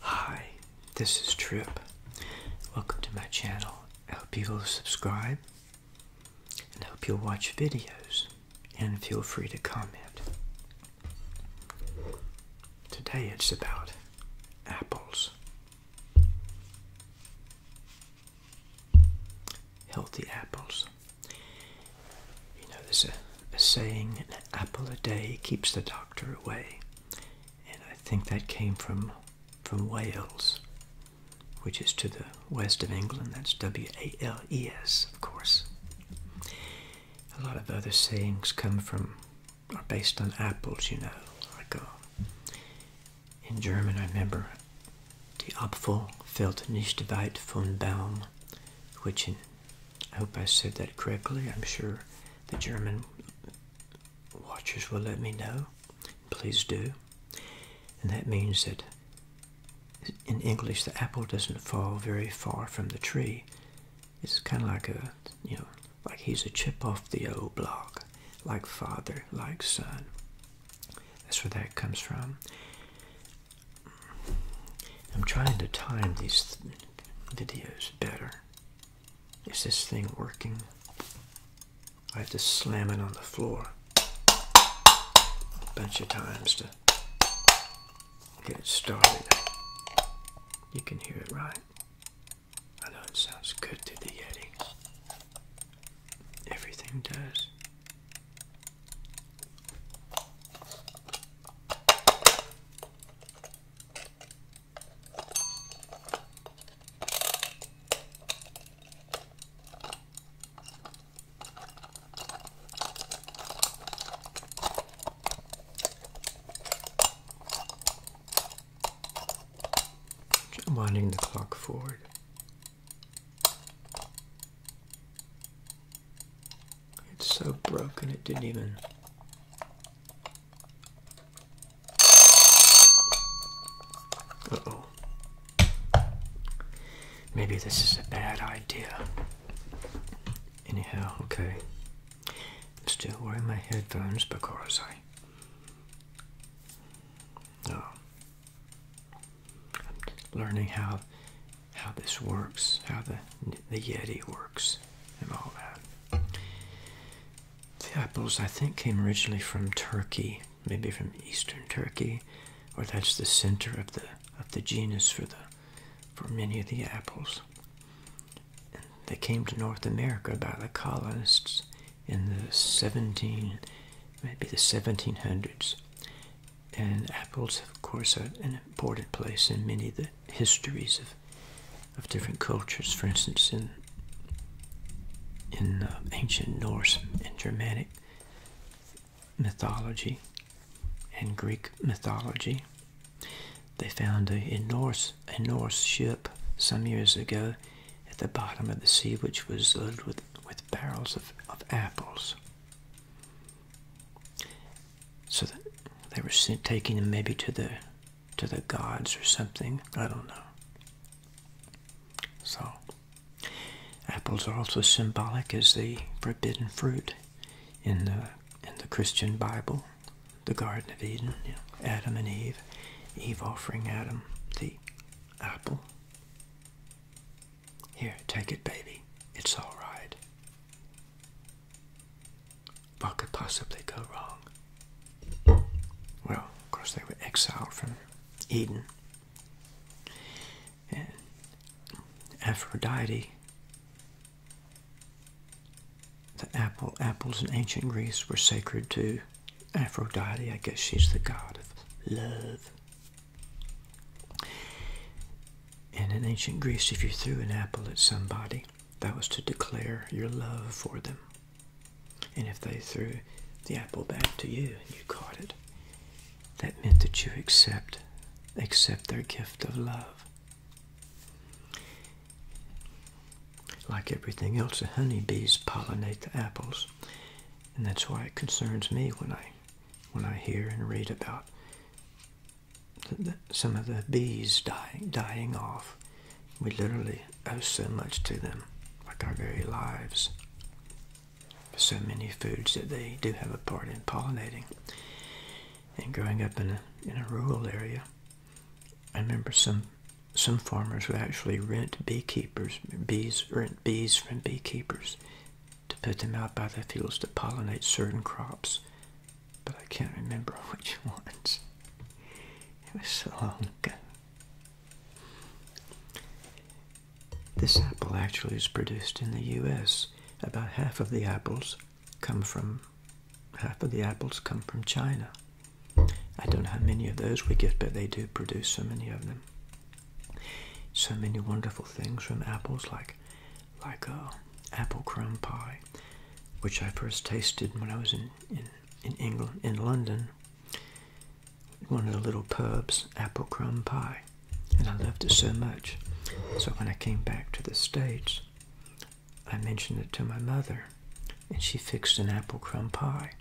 Hi, this is Trip. Welcome to my channel. I hope you'll subscribe and hope you'll watch videos and feel free to comment. Today it's about apples. Healthy apples. You know, there's saying, an apple a day keeps the doctor away. And I think that came from from Wales, which is to the west of England. That's W-A-L-E-S, of course. A lot of other sayings come from, are based on apples, you know. Like uh, in German, I remember, die Apfel fällt nicht weit von Baum, which in I hope I said that correctly. I'm sure the German watchers will let me know. Please do. And that means that in English, the apple doesn't fall very far from the tree. It's kind of like a, you know, like he's a chip off the old block, like father, like son. That's where that comes from. I'm trying to time these videos better. Is this thing working? I have to slam it on the floor a bunch of times to get it started. You can hear it right. I know it sounds good to the Yeti. Everything does winding the clock forward. It's so broken it didn't even. Uh oh. Maybe this is a bad idea. Anyhow, okay. I'm still wearing my headphones because I. Oh. am learning how how this works, how the the Yeti works and all that. The apples, I think, came originally from Turkey, maybe from Eastern Turkey, or that's the center of the of the genus for the for many of the apples. they came to North America by the colonists in the 17, maybe the 1700s. And apples, of course, are an important place in many of the histories of of different cultures. For instance, in in uh, ancient Norse and Germanic mythology and Greek mythology, they found a, a Norse a Norse ship some years ago at the bottom of the sea, which was loaded with with barrels of, of apples. So they were taking him maybe to the to the gods or something. I don't know. So apples are also symbolic as the forbidden fruit in the in the Christian Bible, the Garden of Eden, Adam and Eve, Eve offering Adam the apple. Here, take it, baby. It's all right. What could possibly go wrong? Well, of course, they were exiled from Eden. And Aphrodite, the apple, apples in ancient Greece were sacred to Aphrodite. I guess she's the god of love. And in ancient Greece, if you threw an apple at somebody, that was to declare your love for them. And if they threw the apple back to you and you caught it, that meant that you accept accept their gift of love. Like everything else, the honey bees pollinate the apples. And that's why it concerns me when I when I hear and read about some of the bees dying, dying off. We literally owe so much to them, like our very lives. So many foods that they do have a part in pollinating. And growing up in a, in a rural area, I remember some some farmers would actually rent beekeepers, bees rent bees from beekeepers to put them out by the fields to pollinate certain crops but I can't remember which ones. It was so long ago. This apple actually is produced in the US. About half of the apples come from half of the apples come from China. I don't know how many of those we get, but they do produce so many of them. So many wonderful things from apples like like a uh, apple crumb pie, which I first tasted when I was in, in, in England, in London, one of the little pubs, apple crumb pie. And I loved it so much. So when I came back to the States, I mentioned it to my mother, and she fixed an apple crumb pie.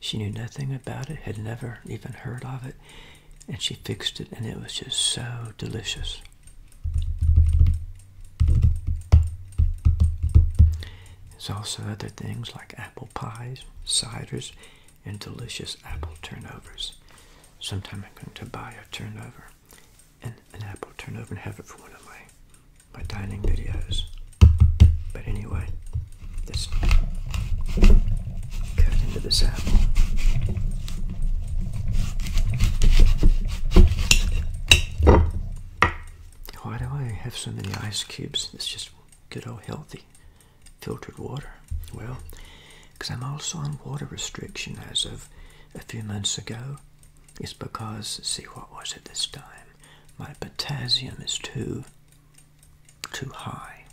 She knew nothing about it, had never even heard of it, and she fixed it, and it was just so delicious. There's also other things like apple pies, ciders, and delicious apple turnovers. Sometime I'm going to buy a turnover, and an apple turnover, and have it for one of my, my dining videos. But anyway, let's cut into this apple. Why do I have so many ice cubes? It's just good old healthy filtered water. Well, because I'm also on water restriction as of a few months ago. It's because, see, what was it this time? My potassium is too, too high.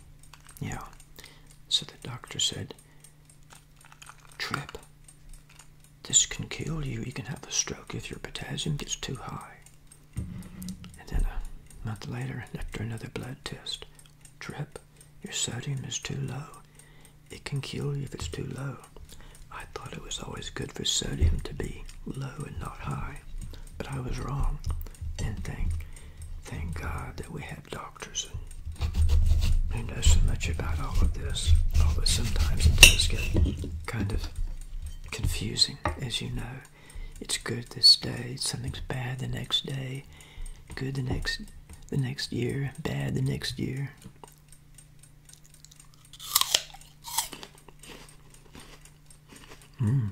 Yeah. So the doctor said, trip this can kill you. You can have a stroke if your potassium gets too high. And then a month later, after another blood test, drip, your sodium is too low. It can kill you if it's too low. I thought it was always good for sodium to be low and not high, but I was wrong. And thank, thank God that we have doctors and who know so much about all of this, although sometimes it does get kind of confusing, as you know. It's good this day, something's bad the next day, good the next the next year, bad the next year. Mm.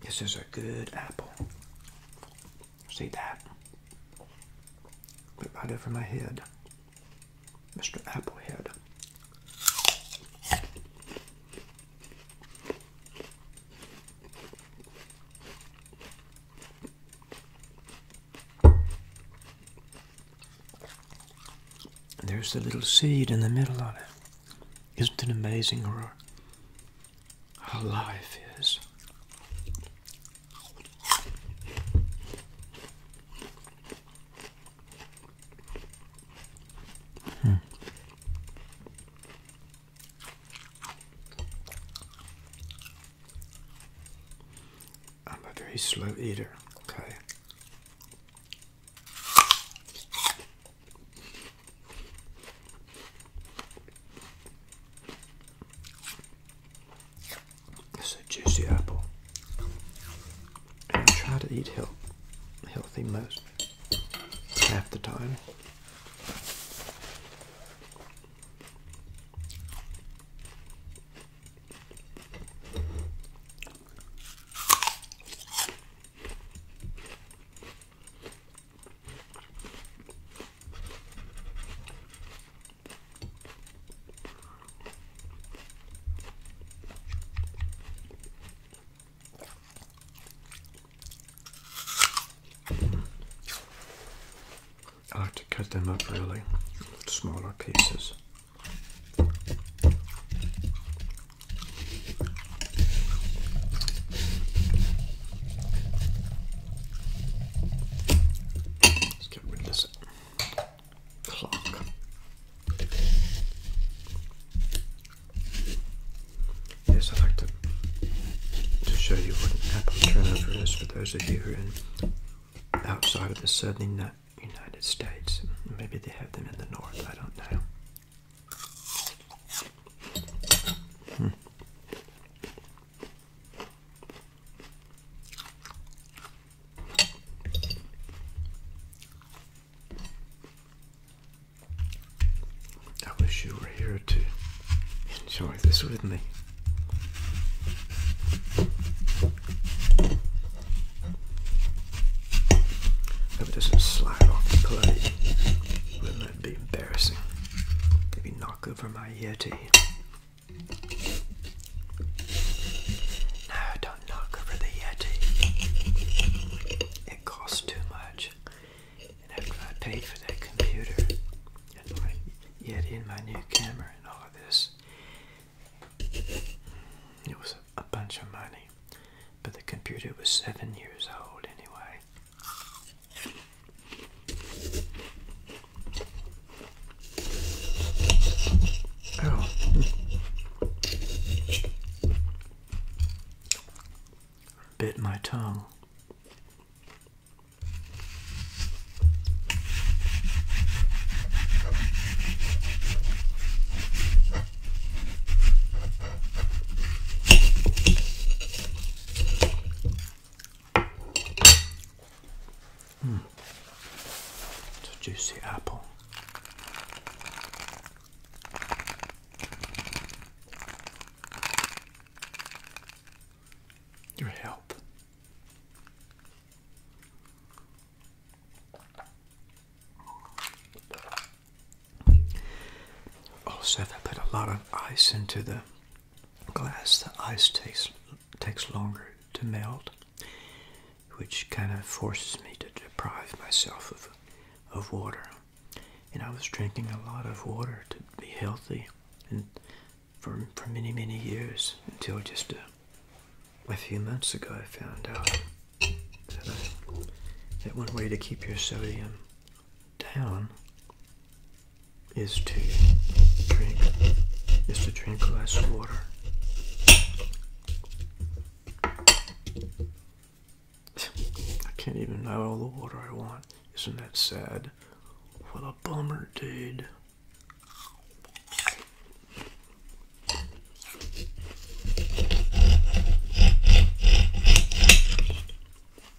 This is a good apple. See that? right over my head. Mr. Applehead. There's the little seed in the middle of it. Isn't it amazing how, how life is? Hmm. I'm a very slow eater, okay? It's a juicy apple. I try to eat health, healthy most half the time. I like to cut them up really smaller pieces. Let's get rid of this clock. Yes, I'd like to, to show you what an apple turnover is for those of you who are outside of the Southern United States. Maybe they have them in the north, I don't know. Hmm. I wish you were here to enjoy this with me. Hope it doesn't slide off the plate that'd be embarrassing. Maybe knock over my Yeti. No, don't knock over the Yeti. It costs too much. And after I paid for that computer and my Yeti my new camera and all of this, it was a bunch of money. But the computer was seven years old anyway. Oh. Bit my tongue. Mm. It's a juicy apple. Your help. Also, if I put a lot of ice into the glass, the ice takes takes longer to melt, which kind of forces me to deprive myself of of water. And I was drinking a lot of water to be healthy, and for for many many years until just a, few months ago, I found out that one way to keep your sodium down is to drink is to drink less water. I can't even have all the water I want. Isn't that sad? What a bummer, dude.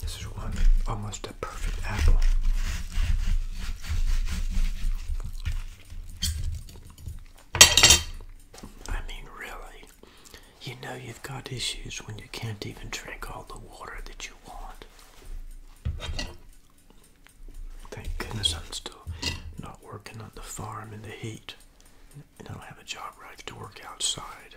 This is one almost a perfect apple. I mean, really, you know you've got issues when you can't even drink all the water that you want. Thank goodness I'm still not working on the farm in the heat, I don't have a job where I have to work outside.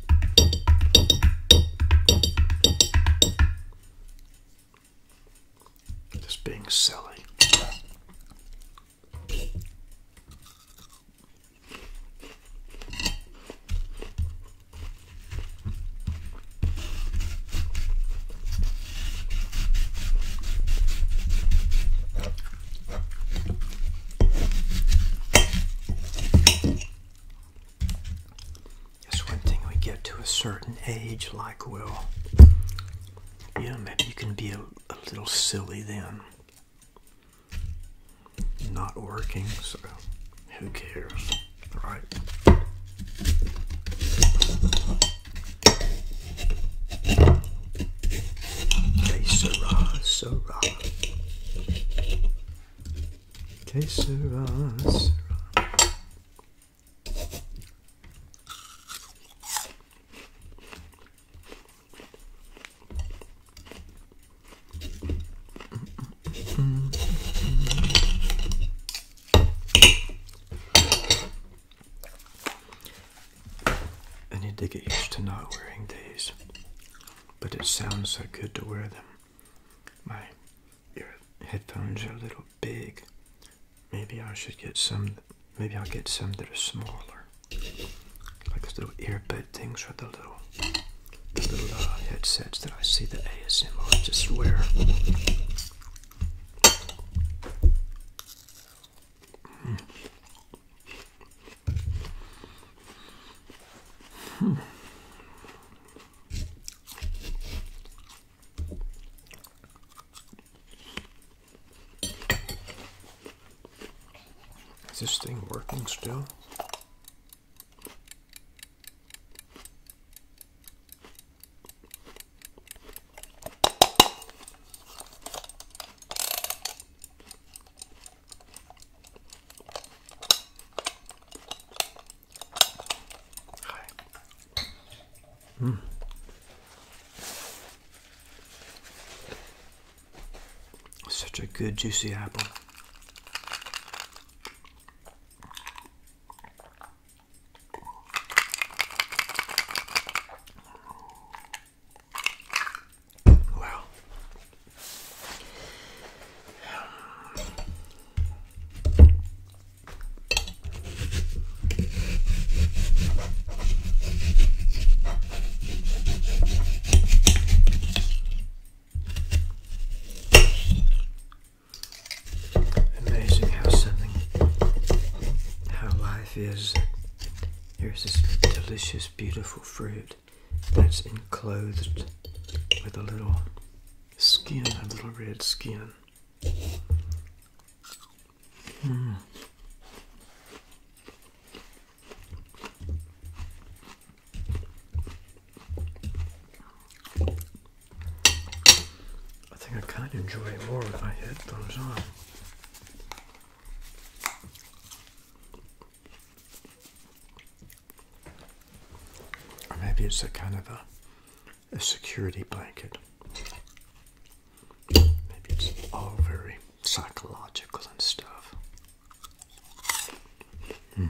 Just being silly. That's one thing we get to a certain age, like, well, you know, maybe you can be a, little silly then. Not working, so who cares, right? Okay, Sarah, uh, Sarah. Uh, Que sera, sera. I need to get used to not wearing these, but it sounds so good to wear them. My your headphones are a little big. Maybe I should get some, maybe I'll get some that are smaller. Like those little earbud things or the little, the little uh, headsets that I see the ASMR just wear. Hmm. Hmm. Is this thing working still? Such a good juicy apple. Wow. Amazing how something, how life is. Here's this delicious, beautiful fruit that's enclosed with a little skin, a little red skin. Hmm. I think I kind of enjoy it more if I hit those on. Or maybe it's a kind of a, a security blanket. Maybe it's all very psychological and stuff. Mm.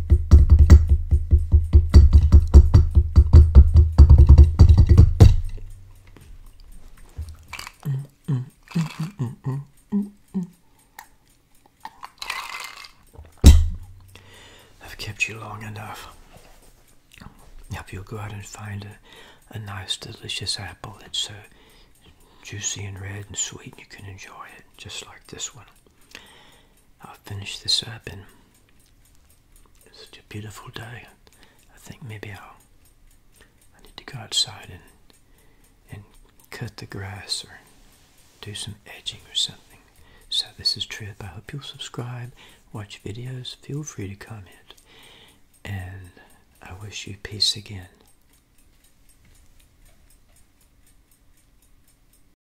I've kept you long enough. Now you'll go out and find a, a nice, delicious apple that's uh, juicy and red and sweet, you can enjoy it just like this one. I'll finish this up and it's such a beautiful day. I think maybe I'll I need to go outside and and cut the grass or do some edging or something. So this is Trip. I hope you'll subscribe, watch videos, feel free to comment. And I wish you peace again.